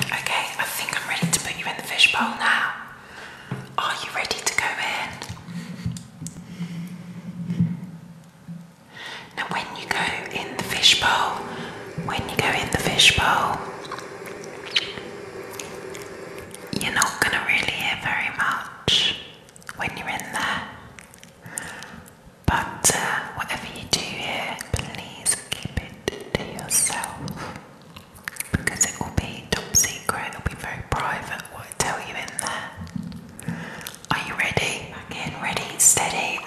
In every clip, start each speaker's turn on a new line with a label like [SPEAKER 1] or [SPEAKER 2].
[SPEAKER 1] Okay, I think I'm ready to put you in the fishbowl now. Are you ready to go in? Now, when you go in the fishbowl, when you go in the fishbowl, you're not going to really hear very much when you're in there. But uh, whatever you do here, please keep it to yourself because it will be top secret, it'll be very private what I tell you in there. Are you ready? Again, ready, steady, and.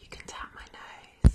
[SPEAKER 1] You can tap my nose.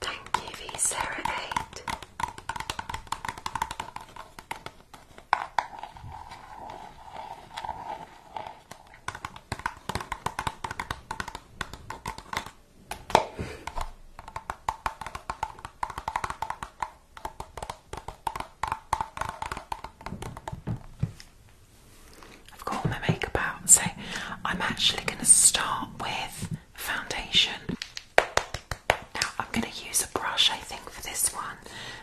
[SPEAKER 1] Thank you, V Sarah Eight. I've got my makeup out, so I'm actually going to start with foundation. Now, I'm going to use a brush, I think, for this one.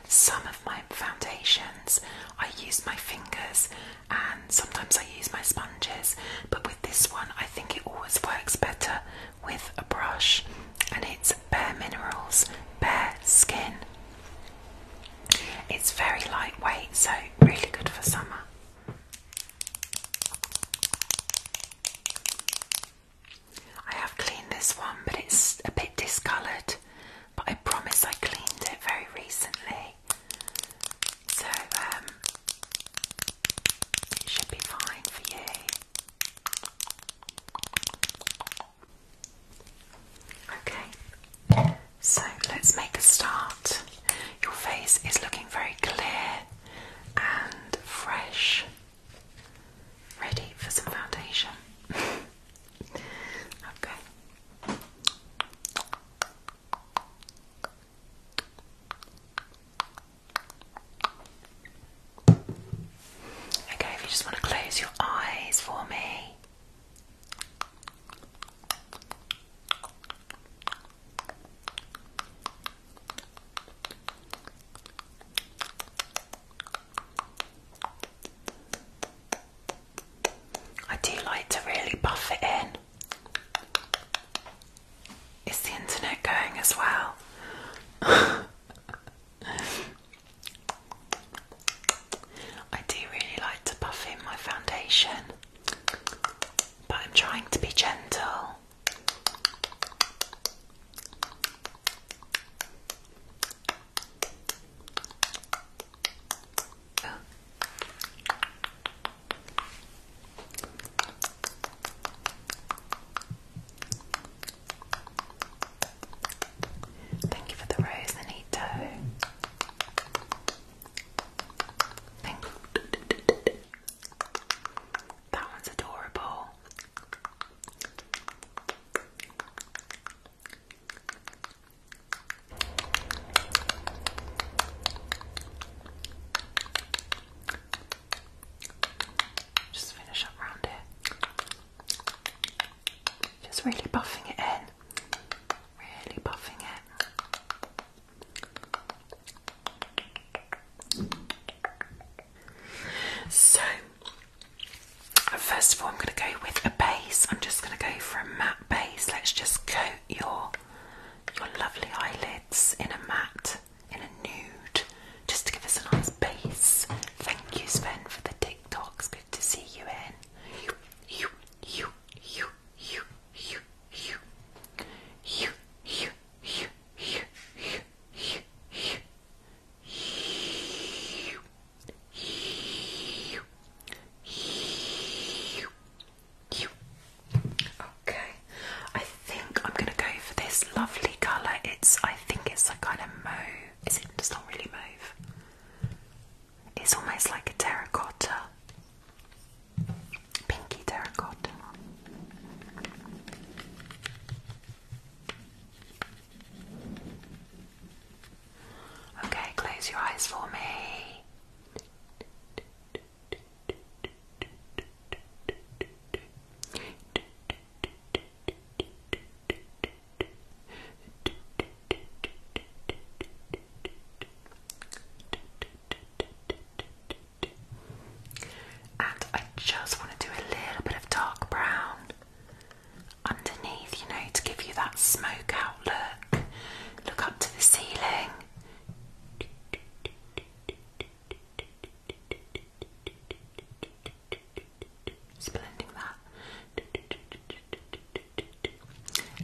[SPEAKER 1] Some of my foundations I use my fingers and sometimes I use my sponges, but with this one, I think it always works better with a brush, and it's bare minerals, bare skin. It's very lightweight, so really good for summer. I have cleaned this one, but it's a bit discoloured. But I promise I cleaned it very recently, so um, it should be fine for you. Okay, so let's make a start. Your face is looking very clear and fresh, ready for some foundation. okay. Okay, if you just want to close your eyes for me. I do like to really buff it in. Is the internet going as well? I do really like to puff in my foundation, but I'm trying to be gentle. Thank you for the rose, Anito. Thank That one's adorable. Just finish up round it. Just really buffing it in. Really buffing it. So, first of all, I'm going to go with a base. I'm just going to go for a matte base. Let's just coat your your lovely eyelids in a matte in a nude just to give us a nice base. Thank you, Sven, for the TikToks. Good to see you in. You, you, you, you, you, you, you, you, you, you, you, you, you, you. You, you, you, you. Okay, I I think I'm gonna go for this lovely colour. It's I think it's a kind of mauve. Is it? It's not really mauve. It's almost like a terracotta, pinky terracotta. Okay, close your eyes for me. And I just want to do a little bit of dark brown underneath, you know, to give you that smoke out look. Look up to the ceiling. Just that.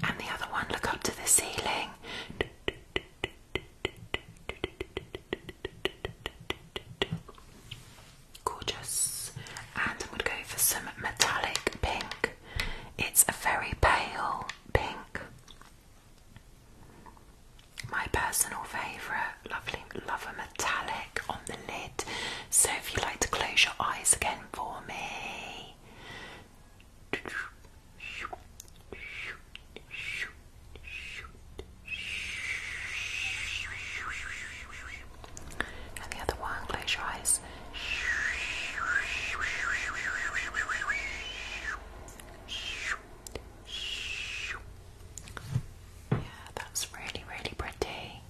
[SPEAKER 1] And the other one, look up to the ceiling. Gorgeous. And I'm going to go for some metallic pink. It's a very pale pink my personal favourite. Lovely, Lover metallic on the lid. So if you like to close your eyes again for me. And the other one, close your eyes. Yeah, that's really, really pretty.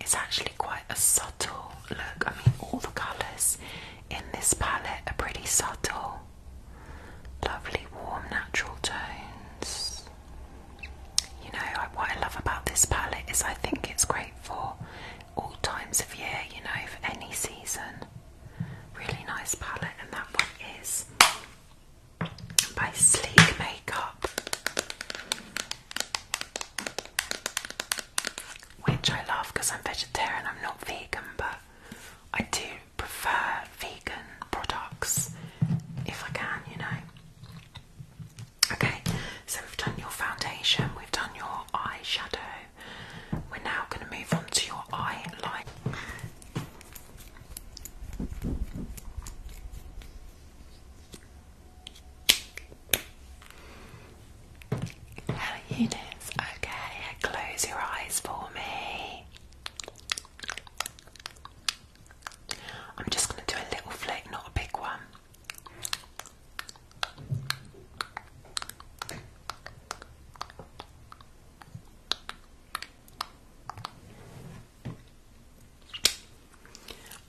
[SPEAKER 1] It's actually quite a subtle look. I mean, all the colours in this palette are pretty subtle. Lovely, warm, natural tones. You know, what I love about this palette is I think it's great for all times of year, you know, for any season. Really nice palette, and that one is by Sleek Makeup, which I love because I'm vegetarian, I'm not vegan, but I do prefer vegan products if I can, you know. Okay, so we've done your foundation, we've done your eye shadow. We're now going to move on to your eye line. Hello Eunice, okay, close your eyes for me. I'm just going to do a little flick, not a big one.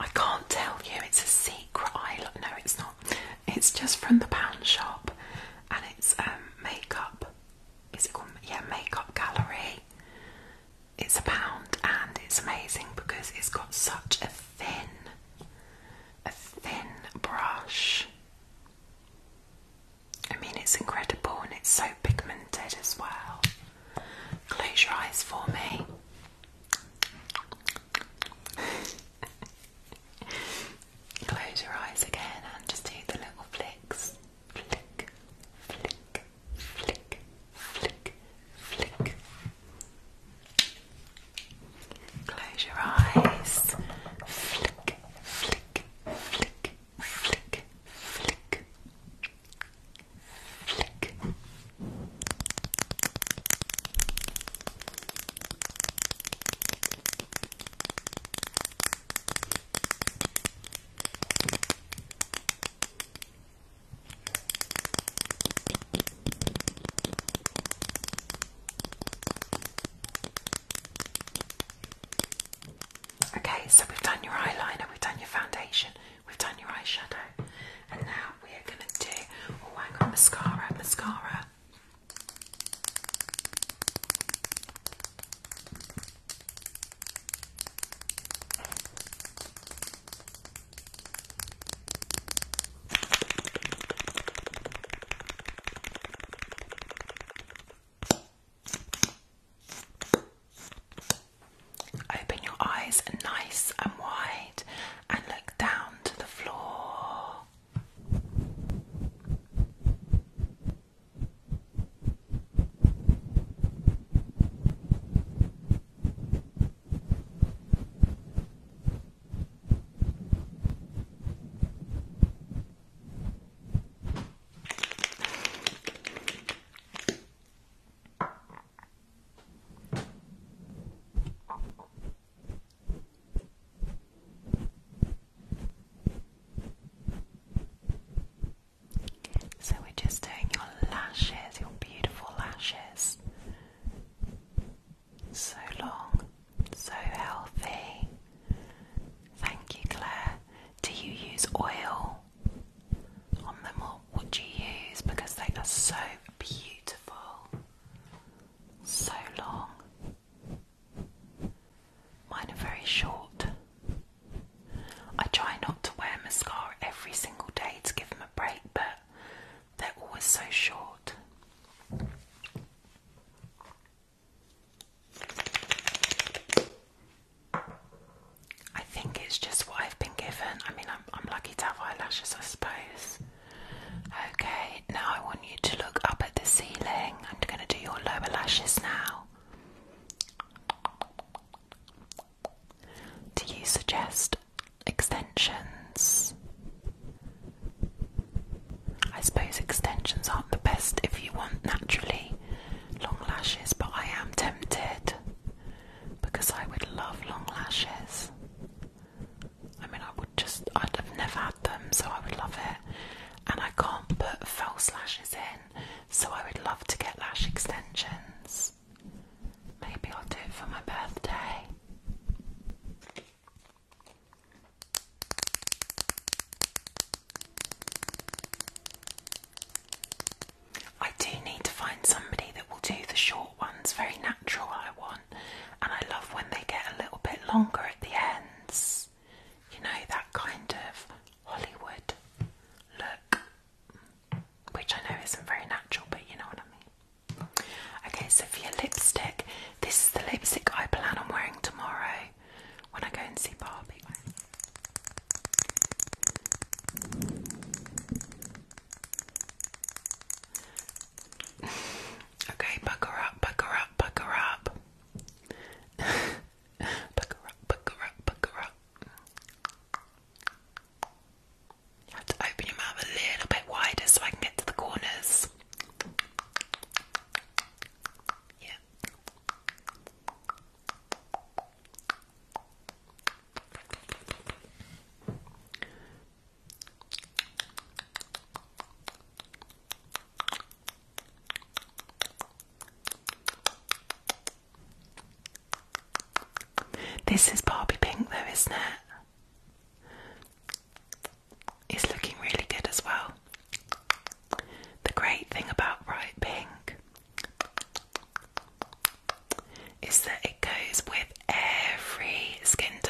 [SPEAKER 1] I can't tell you, it's a secret island. No, it's not. It's just from the pound shop and it's um, makeup. Is it called? Yeah, Makeup Gallery. It's a pound and it's amazing because it's got such a thin, a thin brush. I mean, it's incredible and it's so pigmented as well. Close your eyes for me. Close your eyes again and just do the little flicks. Flick, flick, flick, flick, flick. Close your eyes. Flick, flick, flick, flick, flick, flick. Okay, so we've done your eyeliner, we've done your foundation, We've done your eye shadow, and now we are gonna do. Oh, hang on, mascara, mascara. Open your eyes nice and wide and look down to the floor. So we're just doing your lashes, your beautiful lashes. So long, so healthy. Thank you, Claire. Do you use oil? on them or would you use because they are so beautiful, so long. Mine are very short. I try not to wear mascara every single day to give them a break, but they're always so short. I think it's just what I've been given. I mean, I'm, lucky to have eyelashes, I suppose. Okay, now I want you to look up at the ceiling. I'm going to do your lower lashes now. Do you suggest extensions? I suppose extensions aren't the best if you want naturally long lashes, but I am tempted because I would love long lashes. I mean, I would just, I'd have never had them, so I would love it. And I can't put false lashes in, so I would love to get lash extensions. Maybe I'll do it for my birthday. I do need to find somebody that will do the short ones, very natural, I want. And I love when they get a little bit longer at the ends. You know, that kind of Hollywood look. Which I know isn't very natural, but you know what I mean. Okay, so for your lipstick, this is the lipstick I plan on wearing tomorrow when I go and see Barbie okay, buck her up, buck her up, buck her up. buck her up, buck her up, buck her up. You have to open your mouth a little bit wider so I can get to the corners. Yeah. This is Barbie Pink, though, isn't it? It's looking really good as well. The great thing about bright pink is that it goes with every skin tone.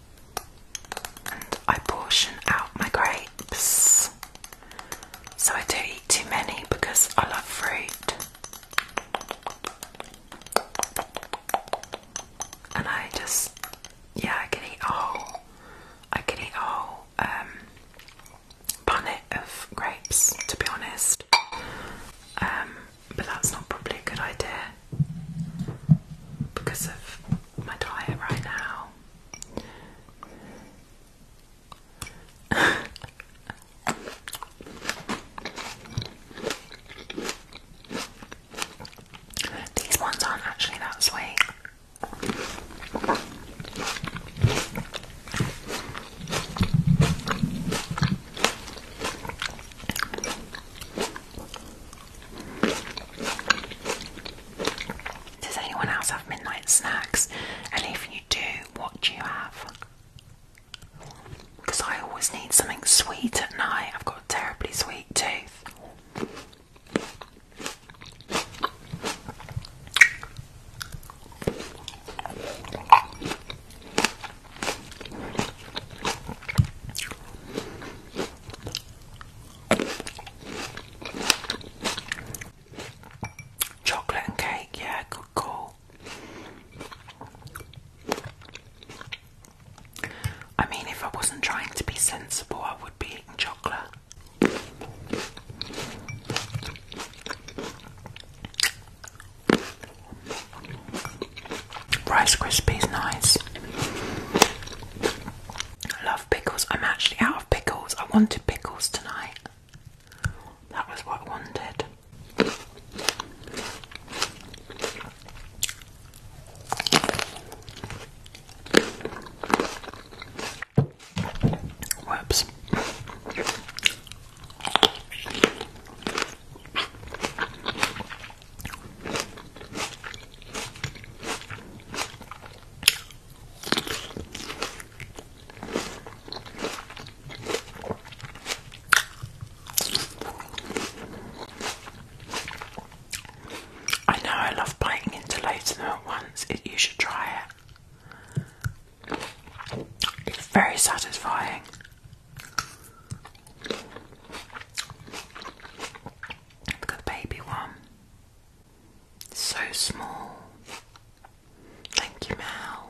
[SPEAKER 1] and I portion out my grapes. So I don't eat too many because I love fruit. And I just, yeah, I can eat whole, I can eat whole um, punnet of grapes, to be honest. Um, but that's not probably a good idea because of my diet right now. These ones aren't actually that sweet. Does anyone else have midnight snacks? And if you do, what do you have? Because I always need something sweet at night. I've got a terribly sweet tooth. Chocolate and cake, yeah, good call. I mean, if I wasn't trying to be sensible, I would be eating chocolate. Rice Krispies, nice. I love pickles. I'm actually out of pickles. I wanted pickles tonight. That was what I wanted. Whoops. I know I love biting into loads of at once. you should try it. It's very satisfying. Look at the baby one. Um, so small. Thank you, Mal.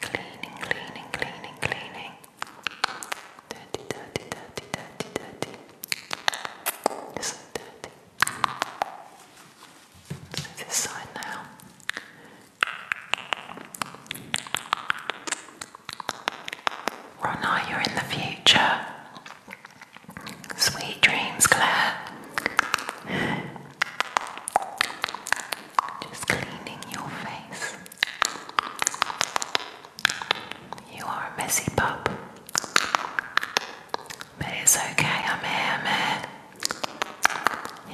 [SPEAKER 1] Cleaning, cleaning, cleaning, cleaning. Dirty, dirty, dirty, dirty, dirty. It's so dirty this side now. Rona, you're in the future. Sweet dreams, Claire. Just cleaning your face. You are a messy pup. But it's okay, I'm here, I'm here.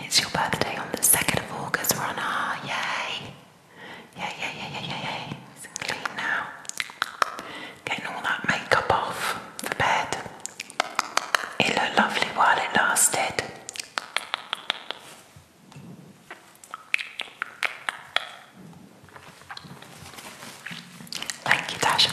[SPEAKER 1] It's your birthday on the 2nd of August, we're on our yay. Yeah, yeah, yeah, yeah, yeah, yeah. It's clean now. Getting all that makeup off for bed. It looked lovely while it lasted. Thank you, Tasha.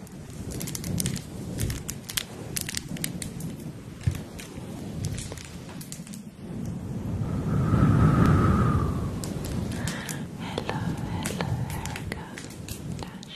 [SPEAKER 1] Hello, hello, Erica, Nash.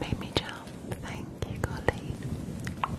[SPEAKER 1] Made me jump. Thank you, Colleen. Thank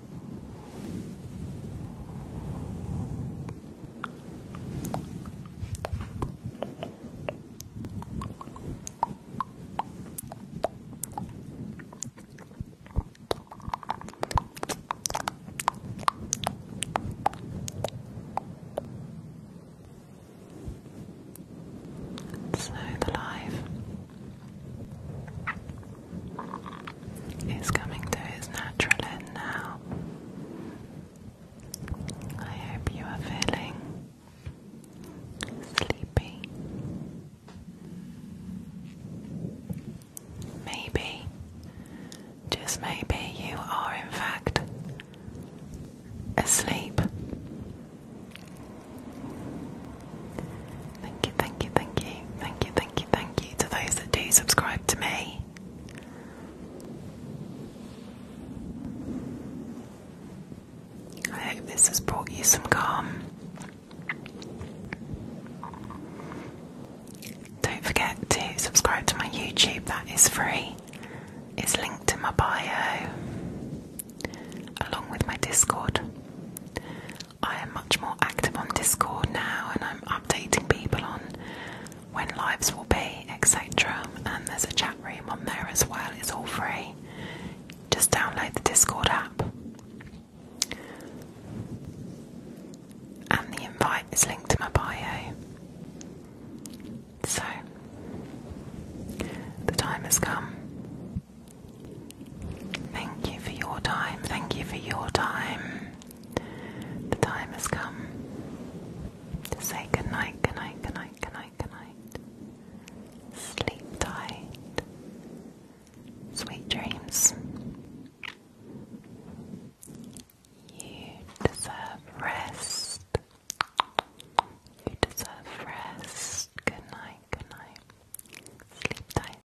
[SPEAKER 1] So the live He's coming to his natural end now. I hope you are feeling sleepy. Maybe, just maybe, you are in fact asleep. Thank you, thank you, thank you, thank you, thank you, thank you to those that do subscribe to me. I hope this has brought you some calm. Don't forget to subscribe to my YouTube, that is free. It's linked in my bio, along with my Discord. I am much more active on Discord now and I'm updating people on when lives will be, etc. And there's a chat room on there as well, it's all free. Just download the Discord app. And the invite is linked to my bio. So, the time has come. Thank you for your time. Thank you for your time. The time has come to say goodnight, goodnight, goodnight, goodnight, goodnight. Sleep tight. Sweet dreams. You deserve rest. You deserve rest. Good night, good night. Sleep tight.